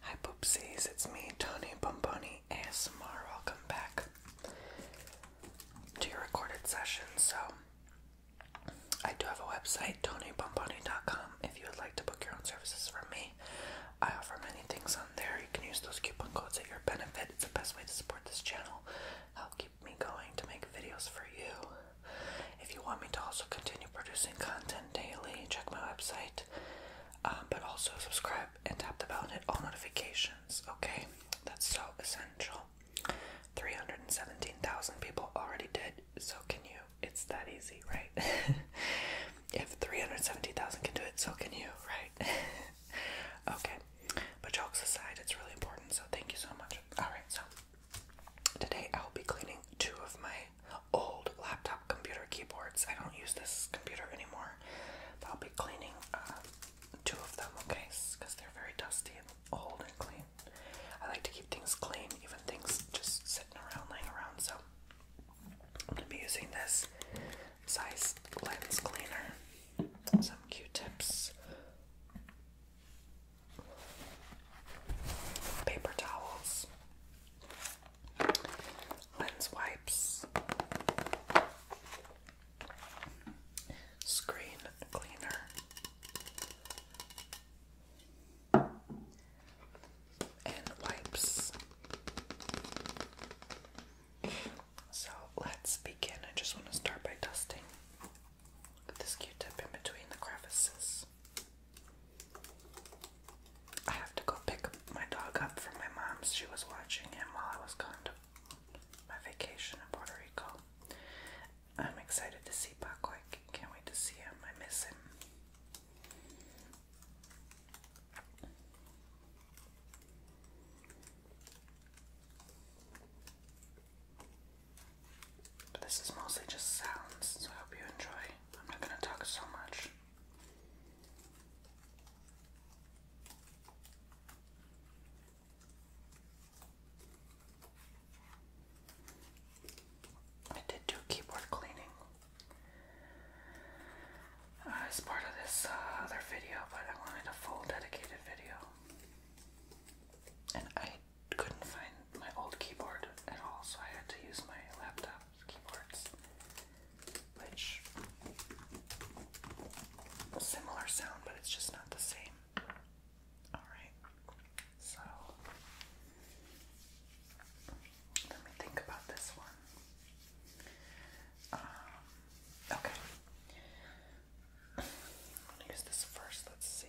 Hi poopsies, it's me, Tony Bomboni ASMR. come back to your recorded session. So, I do have a website, tonybomboni.com, if you would like to book your own services from me. I offer many things on there. You can use those coupon codes at your benefit. It's the best way to support this channel. Help keep me going to make videos for you. If you want me to also continue producing content daily, check my website, um, but also subscribe and tap the bell and hit all notifications, okay? That's so essential. 317,000 people already did, so can you? It's that easy, right? if 370,000 can do it, so can you, right? okay, but jokes aside, it's really important, so thank you so much. Alright, so Today I'll be cleaning two of my old laptop computer keyboards. I don't use this computer anymore, but I'll be cleaning uh, two of them, okay? Because they're very dusty and old and clean. I like to keep things clean, even things just sitting around, laying around. So I'm gonna be using this size lens cleaner, some Q-tips paper towels, lens wipes, screen cleaner, and wipes. So let's begin. I just want to start by dusting. With this Q-tip in between the crevices. I have to go pick my dog up from my mom's. She was watching him while I was gone to my vacation in Puerto Rico. I'm excited to see Paco. I can't wait to see him. I miss him. But this is mostly just sounds, so I hope you enjoy. I'm not gonna talk so much. I did do keyboard cleaning uh, as part of this uh, other video, but I wanted a full dedicated video. And I couldn't find my old keyboard at all, so I had to use my laptop keyboards, which similar sound, but it's just not the same. Alright, so let me think about this one. Um, okay. I'm gonna use this first, let's see.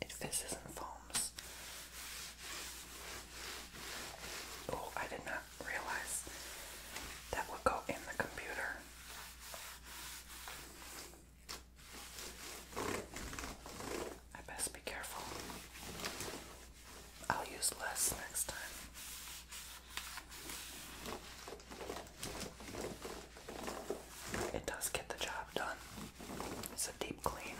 It fizzes and foams. Oh, I did not realize that would go in the computer. I best be careful. I'll use less next time. It does get the job done. It's a deep clean.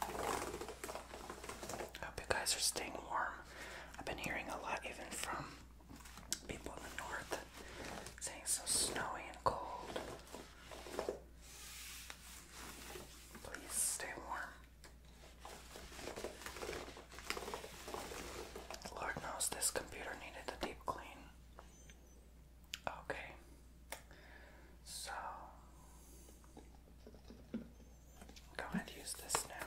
I hope you guys are staying warm. I've been hearing a lot, even from people in the north, saying it's so snowy and cold. Please stay warm. Lord knows this computer needed a deep clean. Okay. So go ahead and use this now.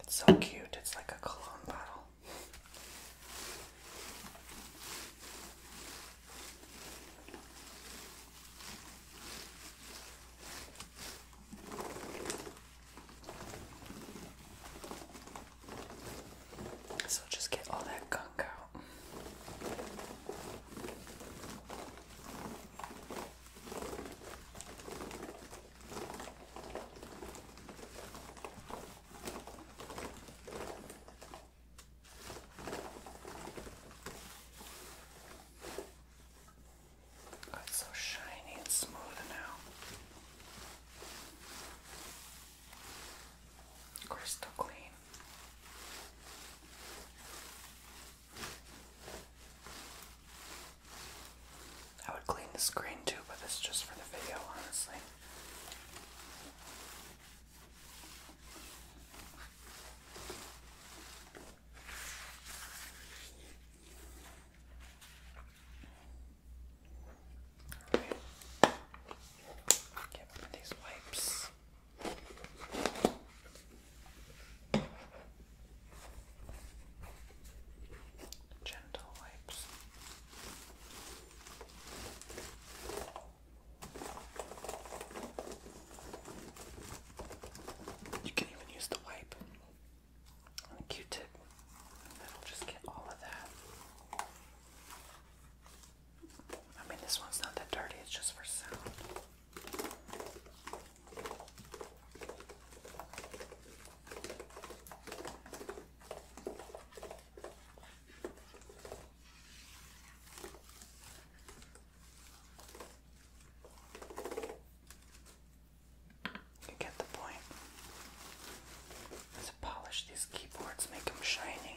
It's so cute, it's like a cologne bottle. So just get all that gunk out. Oh, it's so shiny and smooth now. Crystal clean. I would clean the screen too, but it's just for the video, honestly. Okay. Get one of these wipes. Gentle wipes. You can even use the wipe on a Q-tip. That'll just get all of that I mean, this one's not that dirty, it's just for sound. You get the point. Let's polish these keyboards, make them shiny.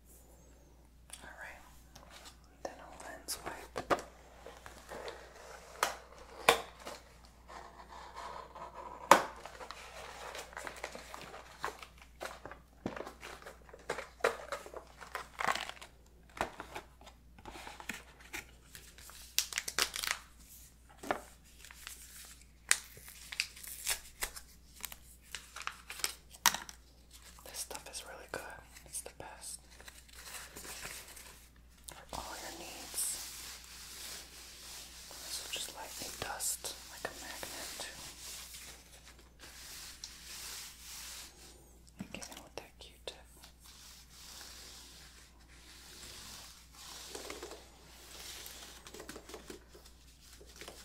Alright, then i lens wipe. This stuff is really good. It's the best for all your needs. This just lightly dust like a magnet. And get that Q-tip.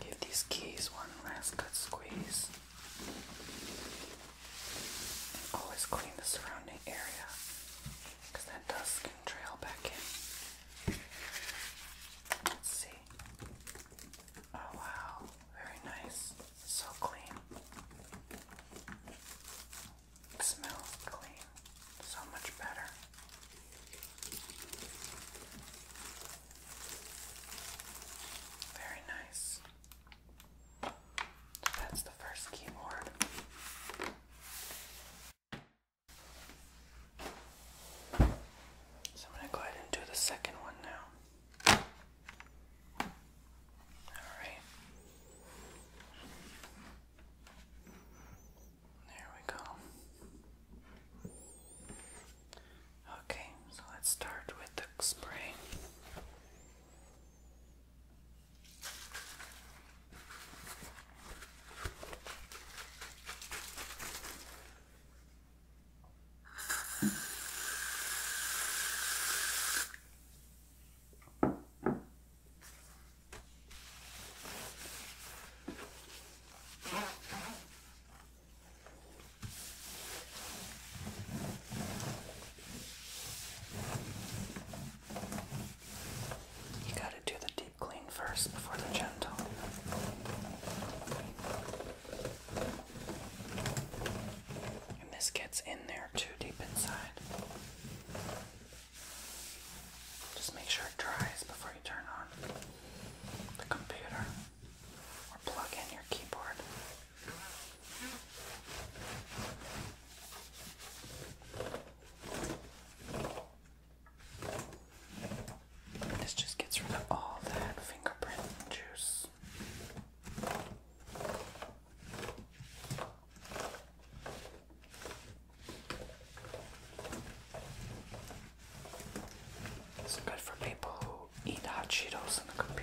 Give these keys one last good squeeze. always clean the surrounding area because that dust can trail back in. Let's see. Oh wow, very nice. So clean. Smell clean. So much better. Very nice. that's the first keyboard. So I'm going to go ahead and do the second one now. Alright. There we go. Okay, so let's start with the spray. You got to do the deep clean first before the gentle. And this gets in there too deep inside. Just make sure it dries before you turn on the computer or plug in your keyboard. This just gets rid of all that fingerprint juice. It's good for people who eat hot Cheetos in the computer.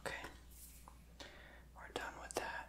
Okay, we're done with that.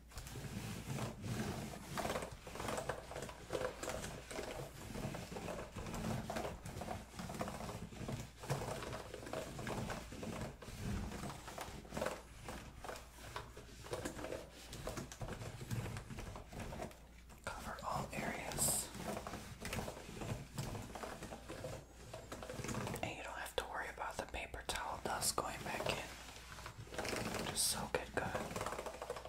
Cover all areas. And you don't have to worry about the paper towel dust going back in. Just soak it good.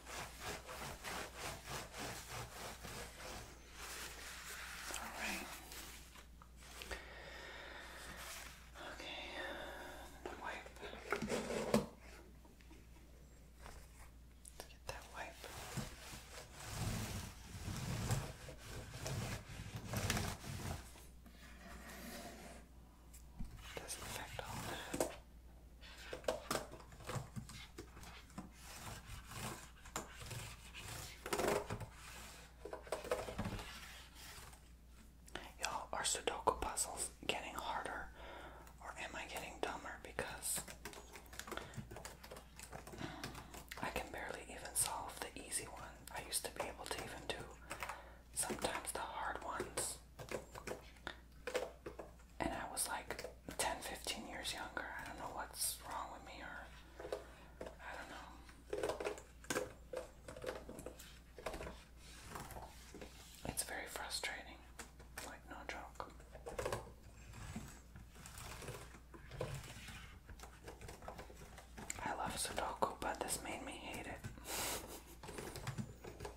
All right. Okay. Let's get that wipe. Doesn't affect all Y'all, are Sudoku puzzles getting harder or am I getting dumber? Because I can barely even solve the easy one. I used to be able to even do sometimes the hard ones. And I was like 10, years younger. I don't know what's wrong with me or I don't know. It's very frustrating. Like no joke. I love Sudoku, but this made me hate it.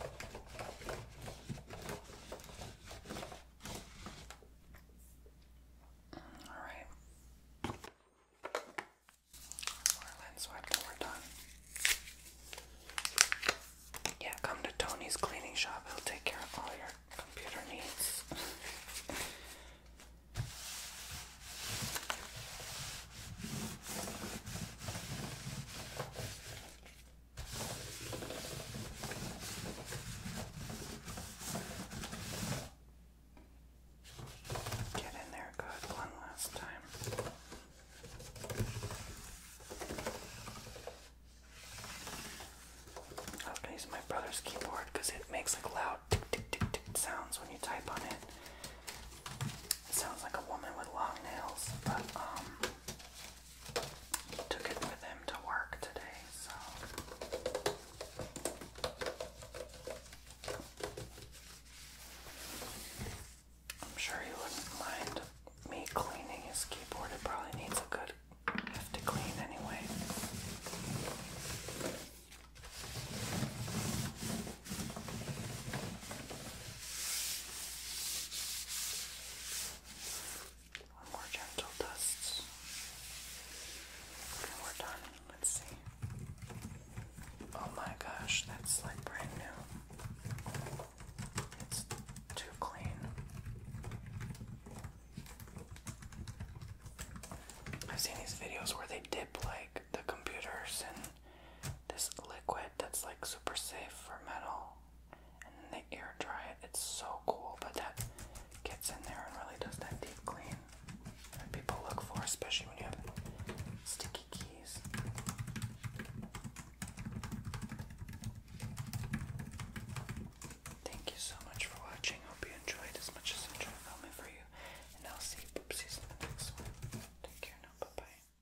All right. More lens wipe and we're done. Yeah, come to Tony's cleaning shop. He'll take care of all your computer needs. Get in there good one last time. I was gonna use my brother's keyboard because it makes like loud tick, tick, tick, tick sounds when you type on it. It sounds like a woman with long nails, but um took it with him to work today, so. I'm sure he wouldn't mind me cleaning his keyboard. It probably needs a good hefty clean anyway. One more gentle dust. we're done. Let's see. Oh my gosh, that's like brand new. It's too clean. I've seen these videos where they dip like the computers and this liquid that's like super safe for metal, and then they air dry it. It's so cool, but that gets in there and really does that deep clean that people look for, especially when you have sticky keys. Thank you so much for watching. Hope you enjoyed as much as I enjoyed filming for you. And I'll see you poopsies in the next one. Take care now. Bye bye.